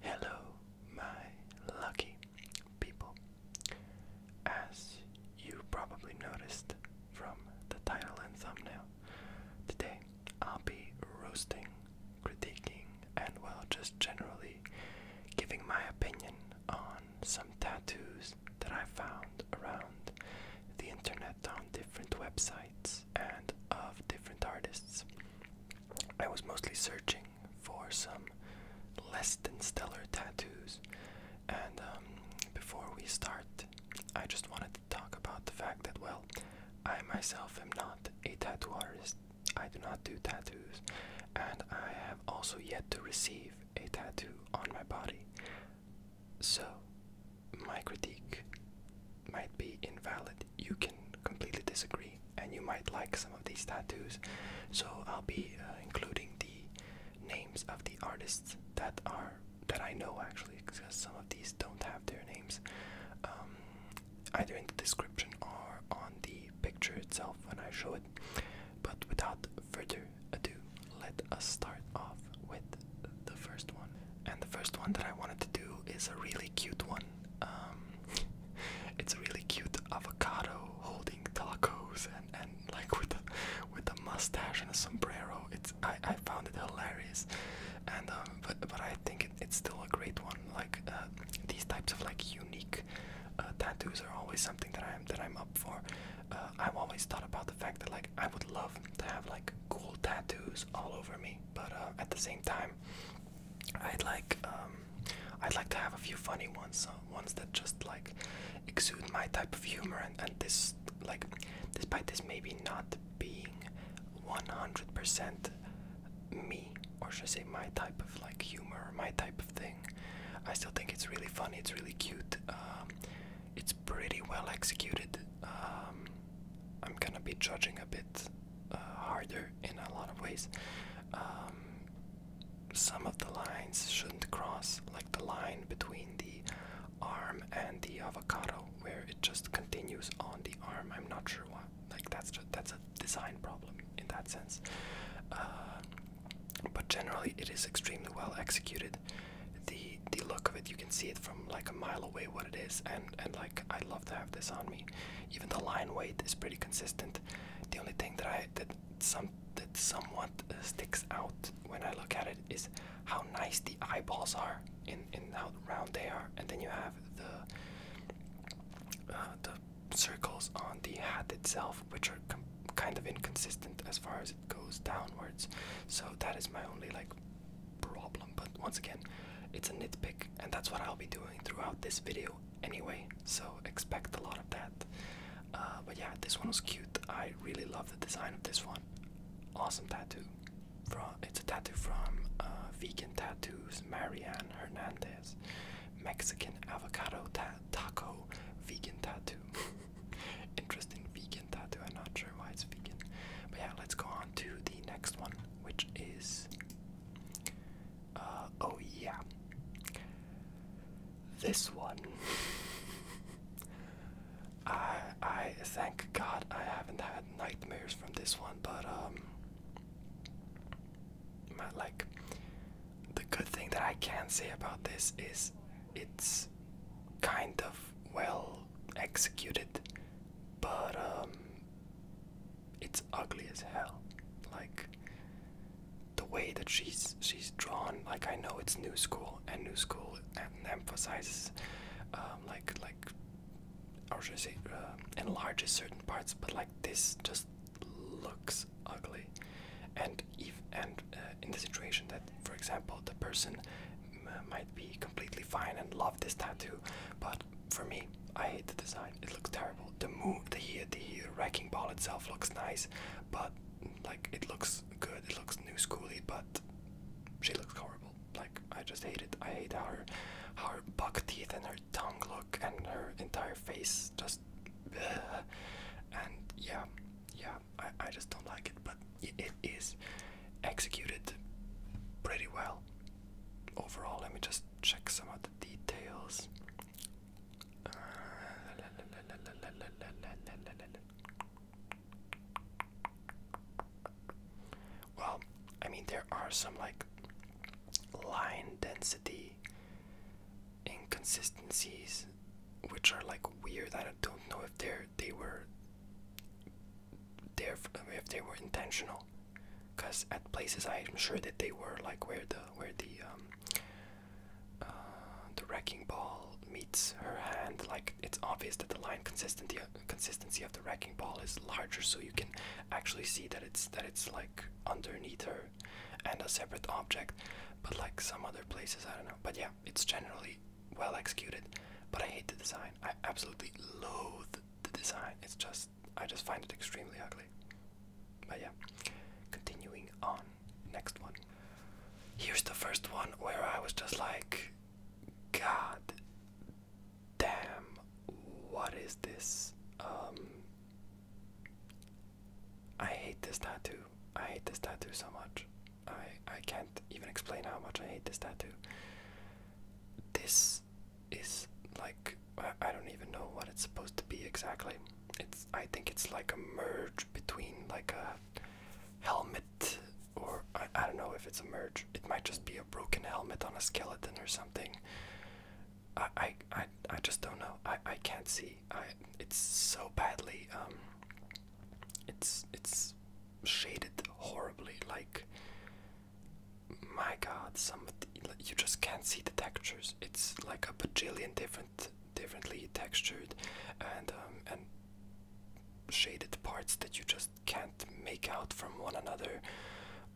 Hello, my lucky people. As you probably noticed from the title and thumbnail, today I'll be roasting, critiquing, and well, just generally giving my opinion on some tattoos that I found around the internet on different websites and of different artists. I was mostly searching for some less than stellar tattoos, and um, before we start, I just wanted to talk about the fact that, well, I myself am not a tattoo artist. I do not do tattoos, and I have also yet to receive a tattoo on my body. So, my critique might be invalid. You can completely disagree, and you might like some of these tattoos. So I'll be uh, including the names of the artists that are that I know actually, because some of these don't have their names, um, either in the description or on the picture itself when I show it. But without further ado, let us start off with the first one. And the first one that I wanted to do is a really cute one. Um, it's a really cute avocado holding tacos and, and like with a, with a mustache and a sombrero. It's I, I found it hilarious, and um, but but I think it's still a great one. Like uh, these types of like unique uh, tattoos are always something that I'm that I'm up for. Uh, I've always thought about the fact that like I would love to have like cool tattoos all over me but uh, at the same time, I'd like um, I'd like to have a few funny ones, uh, ones that just like exude my type of humor, and, this like despite this maybe not being 100% me, or should I say my type of like humor, my type of thing, I still think it's really funny. It's really cute. Um, it's pretty well executed. Um, I'm gonna be judging a bit uh, harder in a lot of ways. Um, some of the lines shouldn't cross, like the line between the arm and the avocado, where it just continues on the arm. I'm not sure why. Like that's that's a design problem in that sense. Uh, but generally, it is extremely well executed. The the look of it you can see it from like a mile away what it is and and like i love to have this on me even the line weight is pretty consistent the only thing that i that some that somewhat uh, sticks out when i look at it is how nice the eyeballs are in in how round they are and then you have the uh, the circles on the hat itself which are kind of inconsistent as far as it goes downwards so that is my only like problem, but once again, it's a nitpick, and that's what I'll be doing throughout this video anyway, so expect a lot of that. Uh, but yeah, this one was cute. I really love the design of this one. Awesome tattoo. From, it's a tattoo from uh, Vegan Tattoos, Marianne Hernandez. Mexican avocado taco vegan tattoo. Interesting vegan vegan tattoo. I'm not sure why it's vegan. But yeah, let's go on to the next one, which is. Uh, oh, yeah. This one. I I thank God I haven't had nightmares from this one, but um, my, like the good thing that I can say about this is it's kind of well executed but um, it's ugly as hell like the way that she's she's drawn like i know it's new school and new school and emphasizes um, like like or should i say uh, enlarges certain parts but like this just looks ugly and if and uh, in the situation that for example the person might be completely fine and love this tattoo, but for me, I hate the design. It looks terrible. The move, the the wrecking ball itself looks nice, but like it looks good. It looks new schooly, but she looks horrible. Like I just hate it. I hate how her, how her buck teeth and her tongue look, and her entire face just. And yeah, yeah, I I just don't like it. But it is executed pretty well overall. Let me just check some of the details. well, I mean, there are some like line density inconsistencies, which are like weird. I don't know if they're they were there if they were intentional because at places i'm sure that they were like where the where the um, uh, the wrecking ball meets her hand like it's obvious that the line consistency consistency of the wrecking ball is larger so you can actually see that it's that it's like underneath her and a separate object but like some other places i don't know but yeah it's generally well executed, but I hate the design. I absolutely loathe the design. It's just I just find it extremely ugly. But yeah, continuing on. Next one. Here's the first one where I was just like, God damn, what is this? Um, I hate this tattoo. I hate this tattoo so much. I I can't even explain how much I hate this tattoo. This is like I, I don't even know what it's supposed to be exactly. It's I think it's like a merge between like a helmet or I, I don't know if it's a merge. It might just be a broken helmet on a skeleton or something. I I I, I just don't know. I I can't see. I it's so badly um it's it's shaded horribly. Like, my God, some you just can't see the textures. It's like a bajillion different, differently textured, and um, and shaded parts that you just can't make out from one another.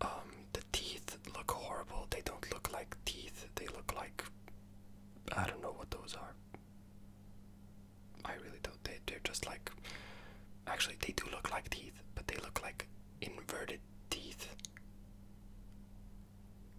Um, the teeth look horrible. They don't look like teeth. They look like I don't know what those are. I really don't. They, they're just like. Actually, they do look like teeth, but they look like inverted teeth.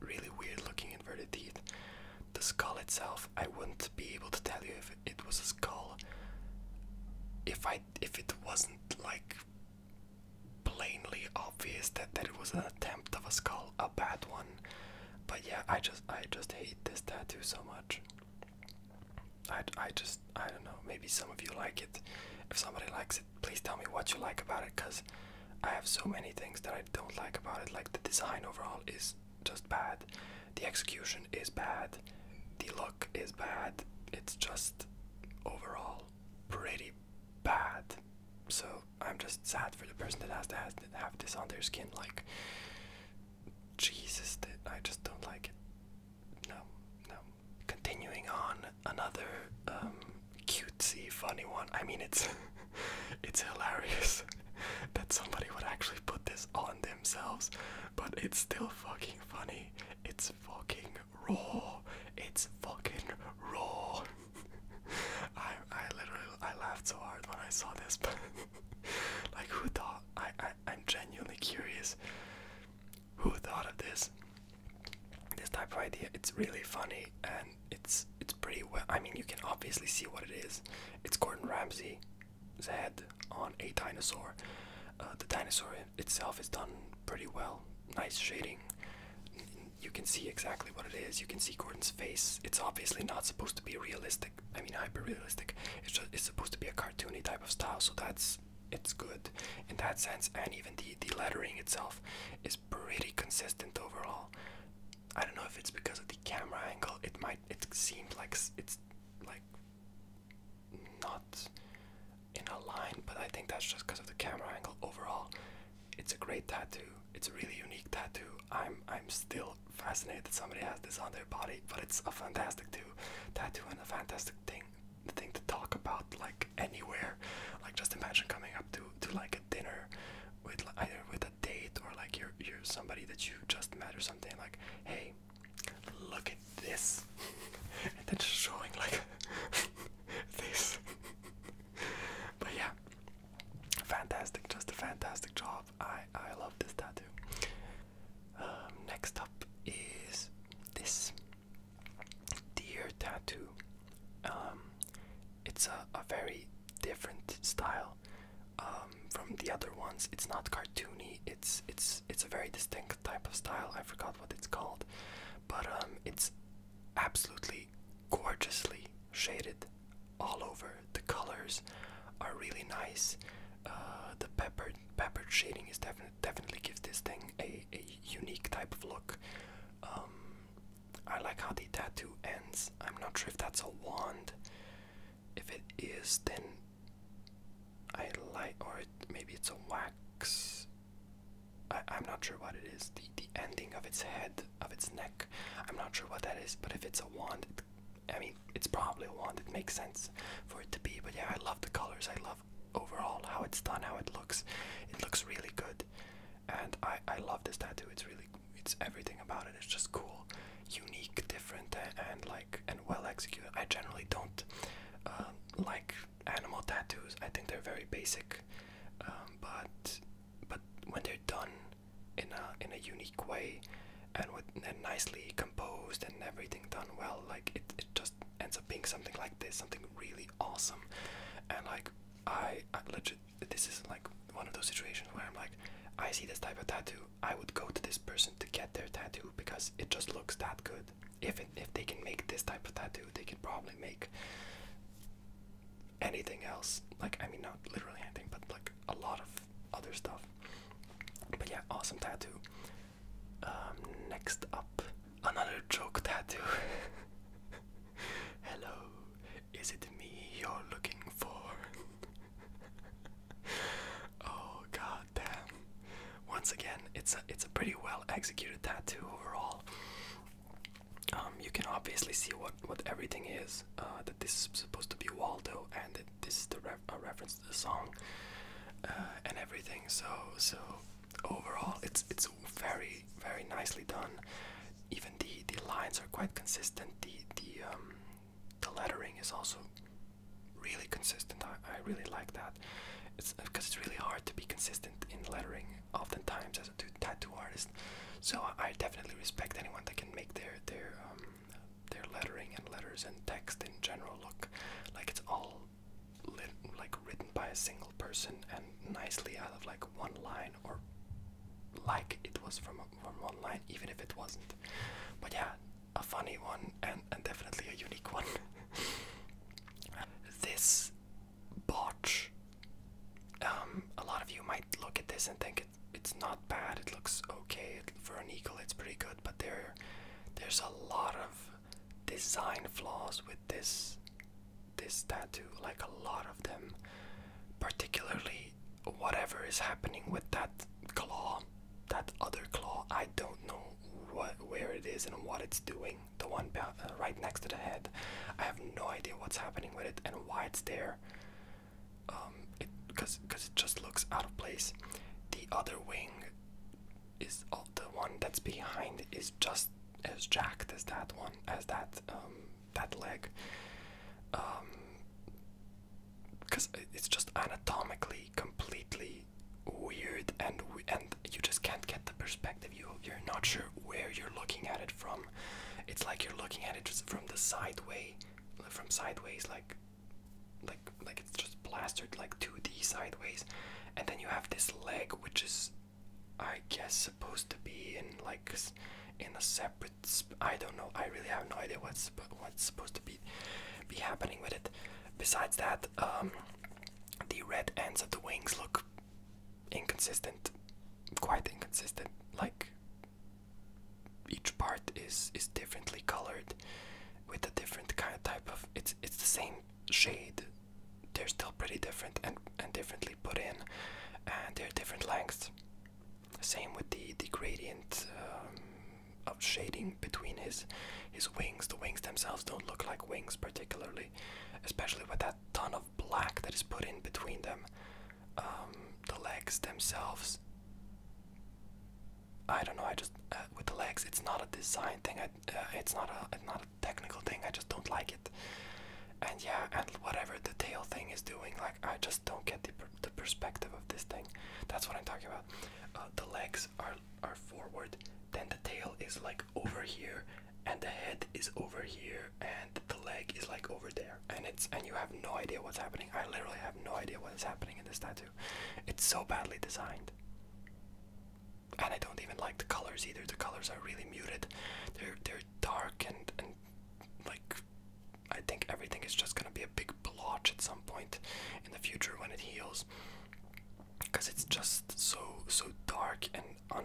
Really weird looking inverted teeth. The skull itself, I wouldn't be able to tell you if it was a skull. If I, if it wasn't like plainly obvious that that it was an attempt of a skull, a bad one. But yeah, I just, I just hate this tattoo so much. I, I just I don't know maybe some of you like it if somebody likes it please tell me what you like about it because I have so many things that I don't like about it like the design overall is just bad the execution is bad the look is bad it's just overall pretty bad so I'm just sad for the person that has to have this on their skin like Jesus, I just don't like it. No, no. Continuing on, another um, cutesy, funny one. I mean, it's it's hilarious that somebody would actually put this on themselves, but it's still fucking funny. It's fucking raw. It's fucking raw. I I literally I laughed so hard when I saw this, like who thought I, I I'm genuinely curious who thought of this this type of idea it's really funny and it's it's pretty well I mean you can obviously see what it is it's Gordon Ramsay's head on a dinosaur uh, the dinosaur itself is done pretty well nice shading you can see exactly what it is you can see Gordon's face it's obviously not supposed to be realistic I mean, hyper realistic. It's supposed to be a cartoony type of style, so that's it's good in that sense. And even the the lettering itself is pretty consistent overall. I don't know if it's because of the camera angle. It might. It seems like it's like not in a line, but I think that's just because of the camera angle. Overall, it's a great tattoo. It's a really unique tattoo. I'm I'm still fascinated that somebody has this on their body, but it's a fantastic too tattoo and a fantastic thing thing to talk about like anywhere. Like just imagine coming up to to like a dinner with either with a date or like you're you're somebody that you just met or something like hey look at this and they're showing like this but yeah fantastic, just a fantastic job. I I love this tattoo. Um, next up is this deer tattoo. Um, it's a, a very different style um, from the other ones. It's not cartoony. It's it's it's a very distinct type of style. I forgot what it's called, but it's absolutely gorgeously shaded all over. The colors are really nice. Uh, the peppered peppered shading is definitely definitely gives this thing a, a unique type of look. Um, I like how the tattoo ends. I'm not sure if that's a wand. If it is, then I like, or maybe it's a wax. I, I'm not sure what it is. The the ending of its head, of its neck. I'm not sure what that is. But if it's a wand, I mean, it's probably one that makes sense for it to be. But yeah, I love the colors. I love overall how it's done, how it looks. It looks really good, and I I love this tattoo. It's really it's everything about it. It's just cool, unique, different, and like and well executed. I generally don't uh, like animal tattoos. I think they're very basic, um, but but when they're done in a in a unique way and with and nicely composed and everything done well like it, it just ends up being something like this something really awesome and like I, legit this is like one of those situations where I'm like I see this type of tattoo I would go to this person to get their tattoo because it just looks that good if if they can make this type of tattoo they could probably make anything else. Like, I mean, not literally anything, but like a lot of other stuff. But yeah, awesome tattoo. Um, next up, another joke tattoo. Hello, is it me you're looking for? oh god damn. Once again, it's a it's a pretty well executed tattoo overall. Um, you can obviously see what what everything is. Uh, that this is supposed to be Waldo, and that this is the reference to the song, uh, and everything. So so overall, it's it's very very nicely done. Even the the lines are quite consistent. The the um, the lettering is also really consistent. I, I really like that. It's because it's really hard to be consistent in lettering oftentimes as a tattoo artist. So I definitely respect anyone that can make their their um, their lettering and letters and text in general look like it's all like written by a single person and nicely out of like one line or like it was from from one line, even if it wasn't. But yeah, a funny one and, and definitely a unique one. this botch um, a lot of you might look at this and think it, it's not bad. It looks okay for an eagle. It's pretty good, but there, there's a lot of design flaws with this this tattoo. Like a lot of them, particularly whatever is happening with that claw, that other claw. I don't know what where it is and what it's doing. The one uh, right next to the head. I have no idea what's happening with it and why it's there. Um, it because it just looks out of place the other wing is oh, the one that's behind is just as jacked as that one as that um, that leg because um, it's just anatomically completely weird and and you just can't get the perspective you you're not sure where you're looking at it from it's like you're looking at it just from the side from sideways like like like it's just plastered like 2D sideways and then you have this leg which is I guess supposed to be in like in a separate I don't know I really have no idea what's what's supposed to be be happening with it besides that um, the red ends of the wings look inconsistent, quite inconsistent. Like each part is is differently colored, with a different kind of type of. It's it's the same shade. They're still pretty different and and differently put in, and they're different lengths. Same with the the gradient um, of shading between his his wings. The wings themselves don't look like wings particularly, especially with that ton of black that is put in between them um, the legs themselves. I don't know. I just uh, with the legs, it's not a design thing. Uh, it's not a not a technical thing. I just don't like it. And yeah, and whatever the tail thing is doing, like I just don't get the the perspective of this thing. That's what I'm talking about. Uh, the legs are are forward, then the tail is like over here, and the head is over here and the leg is like over there and it's and you have no idea what's happening i literally have no idea what is happening in this tattoo it's so badly designed and i don't even like the colors either the colors are really muted they're they're dark and and like i think everything is just going to be a big blotch at some point in the future when it heals because it's just so so dark and un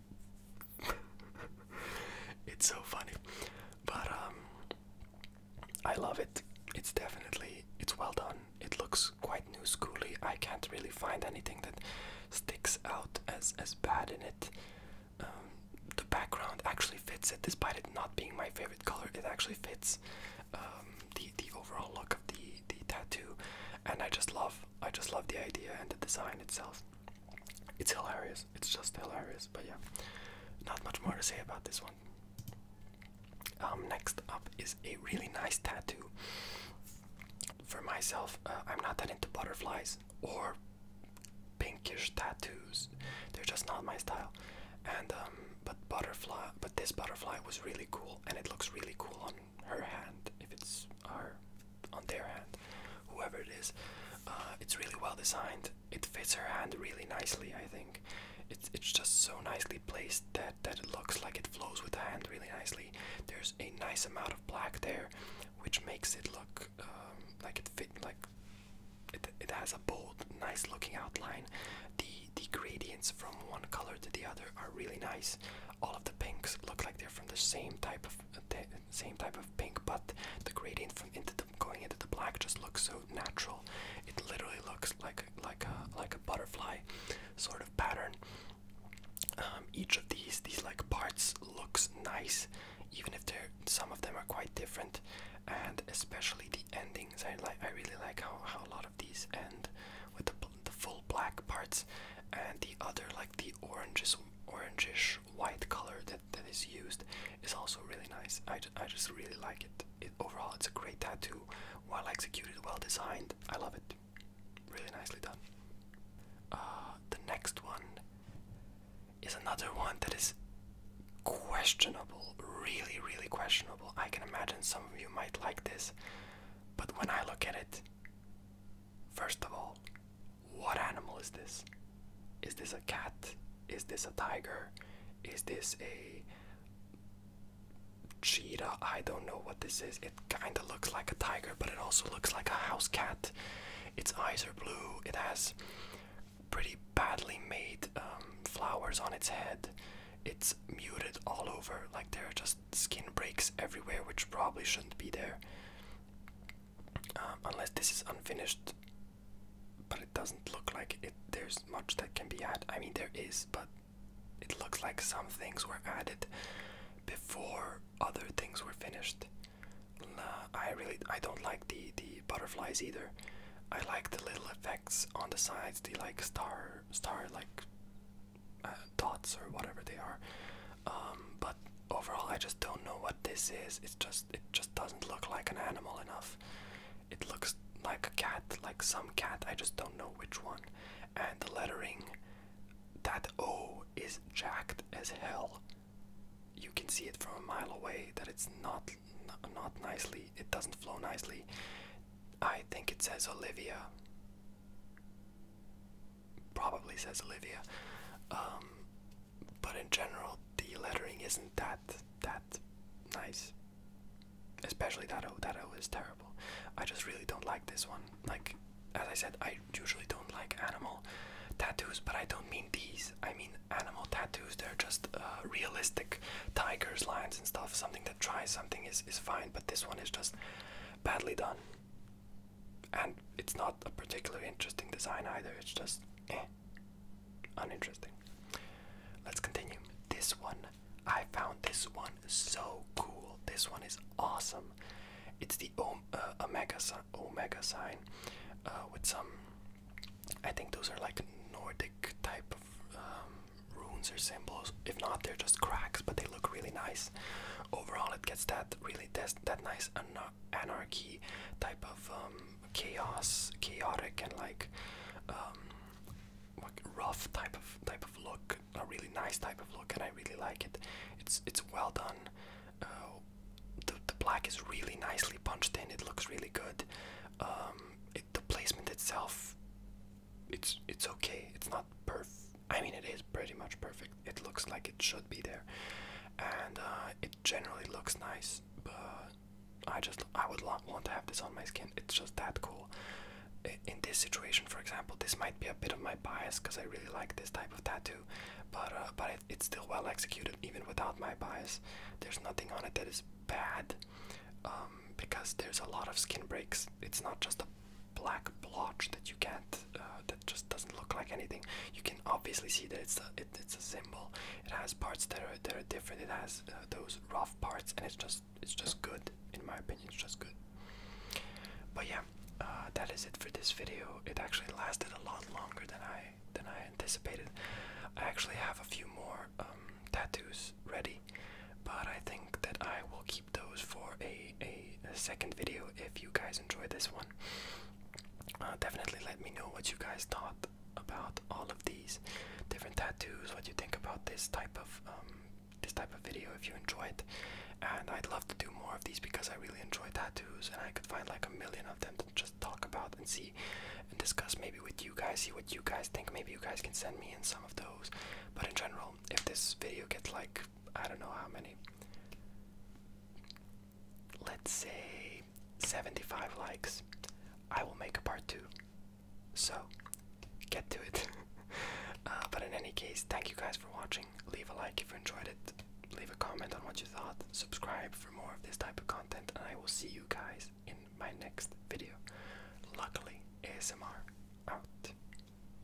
it's so funny. But um I love it. It's definitely it's well done. It looks quite new schooly. I can't really find anything that sticks out as as bad in it. Um, the background actually fits it, despite it not being my favorite color. It actually fits um, the the overall look of the the tattoo, and I just love I just love the idea and the design itself. It's hilarious. It's just hilarious. But yeah, not much more to say about this one. Um, next up is a really nice tattoo. For myself, uh, I'm not that into butterflies or pinkish tattoos. They're just not my style. And um, but butterfly, but this butterfly was really cool, and it looks really cool on her hand. If it's her on their hand, whoever it is. Uh, it's really well designed. It fits her hand really nicely, I think. It's it's just so nicely placed that that it looks like it flows with the hand really nicely. There's a nice amount of black there, which makes it look um, like it fit like it it has a bold, nice looking outline. The the gradients from one color to the other are really nice. All of the pinks look like they're from the same type of the same type of pink, but the gradient from into the going into the black just looks so natural. It literally looks like like a like a butterfly sort of pattern. Um, each of these these like parts looks nice, even if they're some of them are quite different, and especially the endings. I like I really like how how a lot of these end with the the full black parts, and the other like the oranges. Orangish white color that that is used is also really nice. I, I just really like it. it. Overall, it's a great tattoo, well executed, well designed. I love it. Really nicely done. Uh, the next one is another one that is questionable, really, really questionable. I can imagine some of you might like this, but when I look at it, first of all, what animal is this? Is this a cat? Is this a tiger? Is this a cheetah? I don't know what this is. It kind of looks like a tiger, but it also looks like a house cat. Its eyes are blue. It has pretty badly made um, flowers on its head. It's muted all over, like there are just skin breaks everywhere, which probably shouldn't be there. Um, unless this is unfinished but it doesn't look like it there's much that can be added i mean there is but it looks like some things were added before other things were finished i really i don't like the the butterflies either i like the little effects on the sides the like star star like uh, dots or whatever they are um, but overall, I just don't know what this is. It just it just doesn't look like an animal enough. It looks like a cat, like some cat. I just don't know which one. And the lettering, that O is jacked as hell. You can see it from a mile away that it's not not nicely. It doesn't flow nicely. I think it says Olivia probably says Olivia. Um, but in general, the lettering isn't that that nice. Especially that O. That O is terrible. I just really don't like this one. Like, as I said, I usually don't like animal tattoos, but I don't mean these. I mean animal tattoos. They're just uh, realistic tigers, lions, and stuff. Something that tries something is is fine, but this one is just badly done. And it's not a particularly interesting design either, it's just eh, uninteresting. Let's continue. This one, I found this one so cool. This one is awesome. It's the om uh, omega, si omega sign uh, with some, I think those are like Nordic type of um, runes or symbols. If not, they're just cracks, but they look really nice. Overall, it gets that really that nice anarchy type of um, chaos, chaotic and um, like rough type of type of look. A really nice type of look, and I really like it. It's it's well done. Uh, the, the black is really nicely punched in. It looks really good. Um, the placement itself, it's it's okay. It's not perfect I mean, it is pretty much perfect. It looks like it should be there, and uh, it generally looks nice. But I just I would want to have this on my skin. It's just that cool. In this situation, for example, this might be a bit of my bias because I really like this type of tattoo, but uh, but it's still well executed even without my bias. There's nothing on it that is bad um, because there's a lot of skin breaks. It's not just a black blotch that you can't uh, that just doesn't look like anything you can obviously see that it's a, it's a symbol it has parts that are that are different it has uh, those rough parts and it's just it's just good in my opinion it's just good but yeah uh, that is it for this video it actually lasted a lot longer than I than I anticipated I actually have a few more um, tattoos ready but I think that I will keep those for a, a, second video if you guys enjoyed this one. Uh, definitely let me know what you guys thought about all of these different tattoos. What you think about this type of um, this type of video if you enjoyed, And I'd love to do more of these because I really enjoy tattoos and I could find like a million of them to just talk about and see and discuss maybe with you guys, see what you guys think. Maybe you guys can send me in some of those. But in general, if this video gets like I don't know how many. Let's say 75 likes. I will make a part two. So, get to it. Uh, but in any case, thank you guys for watching. Leave a like if you enjoyed it. Leave a comment on what you thought. Subscribe for more of this type of content. And I will see you guys in my next video. Luckily, ASMR out.